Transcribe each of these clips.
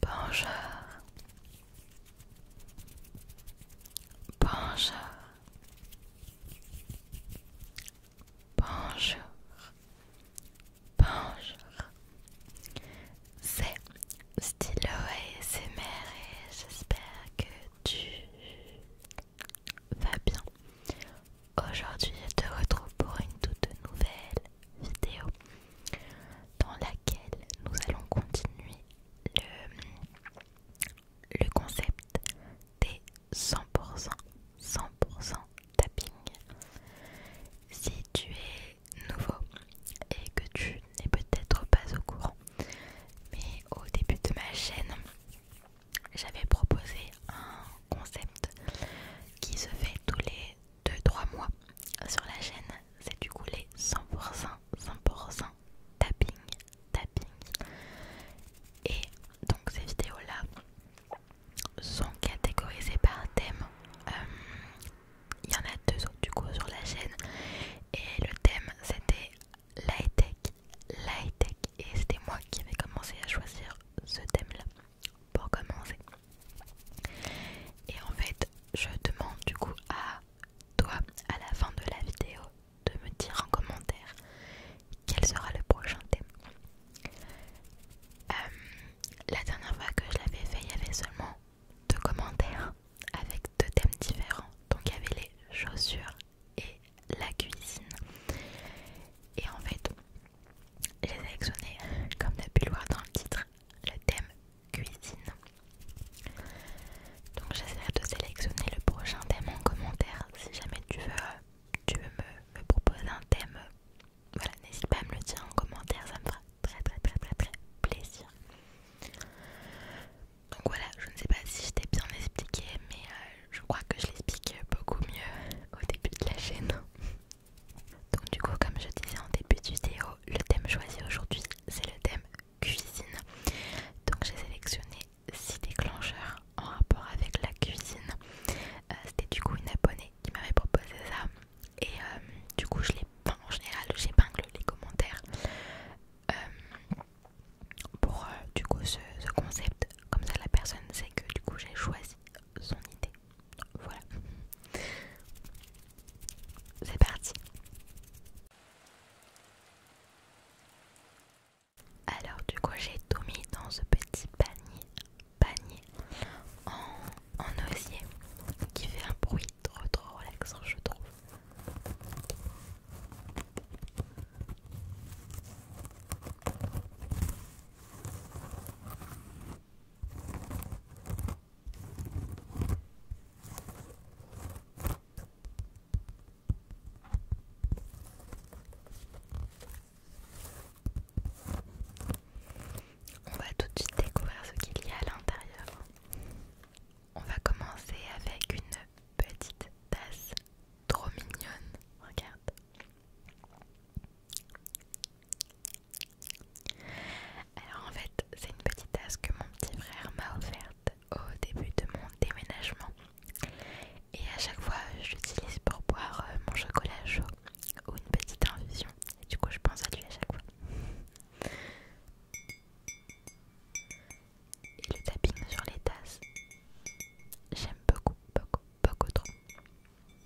Bonjour. Bonjour. Bonjour. Bonjour. C'est Stylo ASMR et j'espère que tu vas bien. Aujourd'hui, je te retrouve pour une toute nouvelle vidéo dans laquelle nous allons continuer le, le concept des 100%, 100% tapping. Si tu es nouveau et que tu n'es peut-être pas au courant, mais au début de ma chaîne, j'avais proposé un concept qui se fait tous les 2-3 mois sur la chaîne. C'est du coup les 100%, 100% tapping, tapping. Et donc ces vidéos-là sont catégorisées par thème. Euh, il y en a deux autres du coup sur la chaîne. Et le thème c'était l'high tech, l'high tech. Et c'était moi qui avais commencé à choisir ce thème-là pour commencer. Et en fait, je demande du coup à toi, à la fin de la vidéo, de me dire en commentaire quel sera le prochain thème. Euh, la dernière fois que je l'avais fait, il y avait seulement deux commentaires avec deux thèmes différents. Donc il y avait les chaussures et la cuisine. Et en fait, j'ai sélectionné, comme tu as pu le voir dans le titre, le thème cuisine. Donc j'essaierai de sélectionner le prochain thème en commentaire. Si jamais tu veux, tu veux me, proposer un thème, voilà, n'hésite pas à me le dire en commentaire, ça me fera très très très très très plaisir. Donc voilà, je ne sais pas si je t'ai bien expliqué, mais euh, je crois que je l'explique beaucoup mieux au début de la chaîne. Donc du coup comme je disais en début de vidéo, le thème choisi aujourd'hui c'est le thème cuisine. Donc j'ai sélectionné six déclencheurs en rapport avec la cuisine. Euh, c'était du coup une abonnée qui m'avait proposé ça. Et euh, du coup je l'ai en général, j'épingle les commentaires euh, pour du coup ce concept. Comme ça la personne sait que du coup j'ai choisi son idée. Voilà. C'est parti. Alors du coup j'ai tout mis dans ce petit panier, panier en, osier qui fait un bruit trop trop relaxant je trouve. On va tout de suite découvrir ce qu'il y a à l'intérieur. On va commencer avec une petite tasse trop mignonne. Regarde. Alors en fait, c'est une petite tasse que mon petit frère m'a offerte au début de mon déménagement. Et à chaque fois, je l'utilise pour boire euh, mon chocolat chaud ou une petite infusion. Et du coup, je pense à lui à chaque fois. Et le tapping sur les tasses, j'aime beaucoup, beaucoup, beaucoup trop.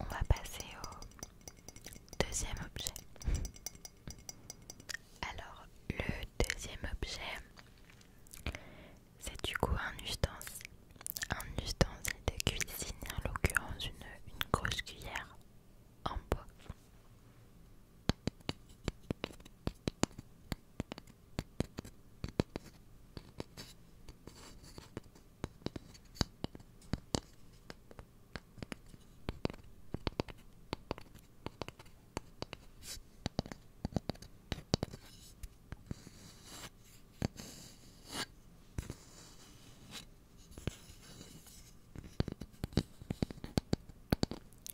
On va passer au deuxième objet. Alors, le deuxième objet, c'est du coup un ustensile. Un ustensile de cuisine, en l'occurrence une, une grosse cuillère en bois.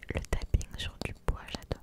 Le tapping sur du bois, j'adore.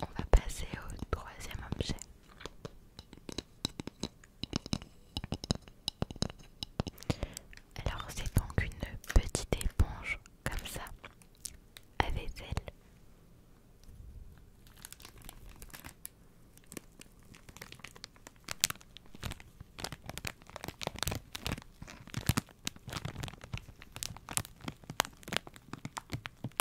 On va passer au troisième objet. Alors c'est donc une petite éponge comme ça, avec elle.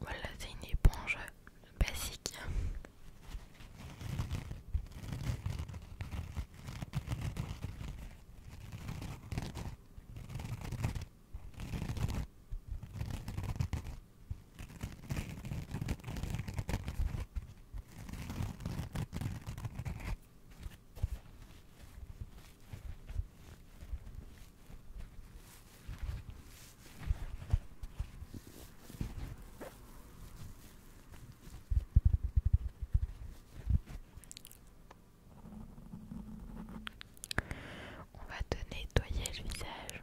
Voilà, c'est une éponge basique. On va te nettoyer le visage.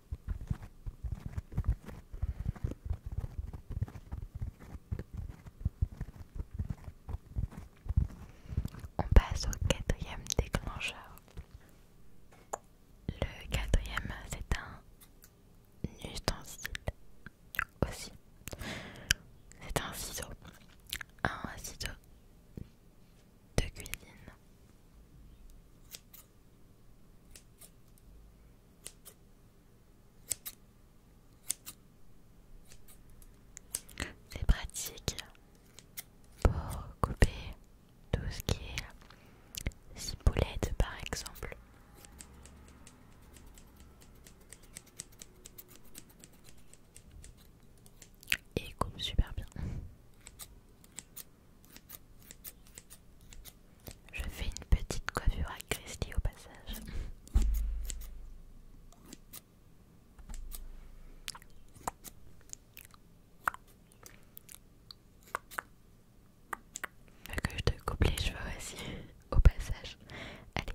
On passe au quatrième déclencheur. Le quatrième, c'est un ustensile aussi. C'est un ciseau. Un ciseau de cuisine. C'est pratique pour couper tout ce qui est ciboulette par exemple. Et coupe super bien. Je fais une petite coiffure à Christie au passage. Que je te coupe les cheveux aussi au passage. Allez.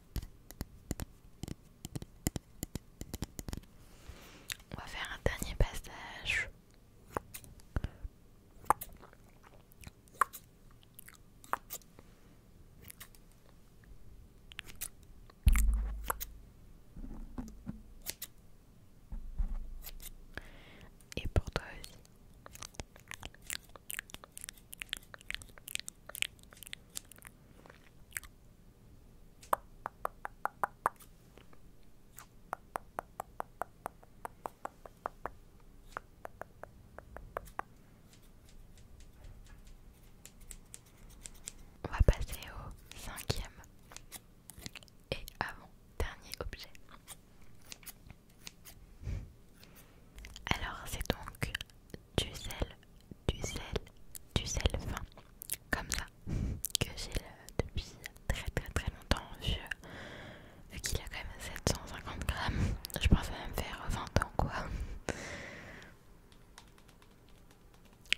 On va faire un dernier passage. Et pour toi aussi. On va passer au cinquième et avant dernier objet. Alors c'est donc du sel du sel, du sel fin, comme ça, que j'ai depuis très très très longtemps, vu, qu'il a quand même 750 grammes, je pense même faire 20 ans quoi.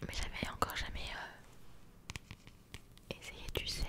Mais j'avais encore jamais euh, essayé du sel.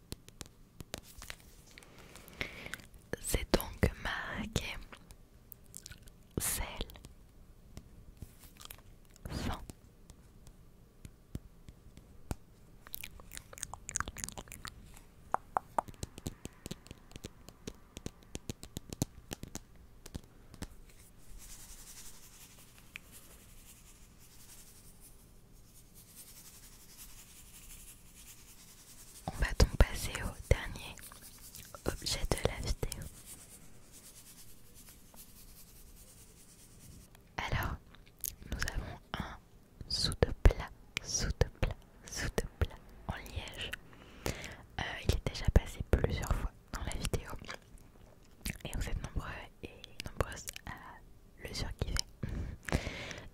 C'est donc marqué sel, on va donc passer au dernier objet de la vidéo. Alors, nous avons un sous de plat, sous de plat, sous de plat en liège. Euh, il est déjà passé plusieurs fois dans la vidéo. Et vous êtes nombreux et nombreuses à le surkiffer.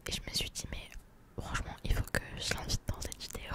Et je me suis dit, mais Franchement, il faut que je l'invite dans cette vidéo.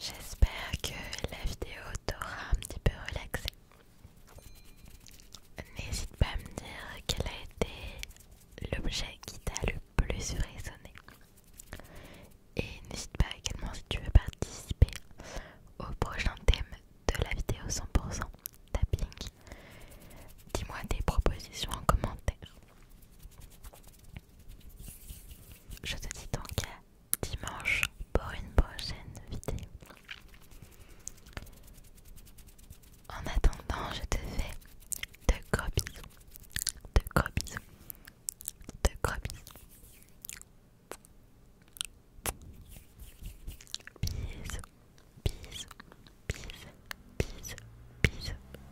J'espère que la vidéo t'aura un petit peu relaxé. N'hésite pas à me dire quel a été l'objet qui t'a le plus résonné. Et n'hésite pas également si tu veux participer au prochain thème de la vidéo 100% tapping. Dis-moi tes propositions en commentaire. Je te dis donc à dimanche pour une prochaine vidéo. En attendant, je te fais de gros bisous, de gros bisous, de gros bisous. Bisous, bisous, bisous, bisous, bisous.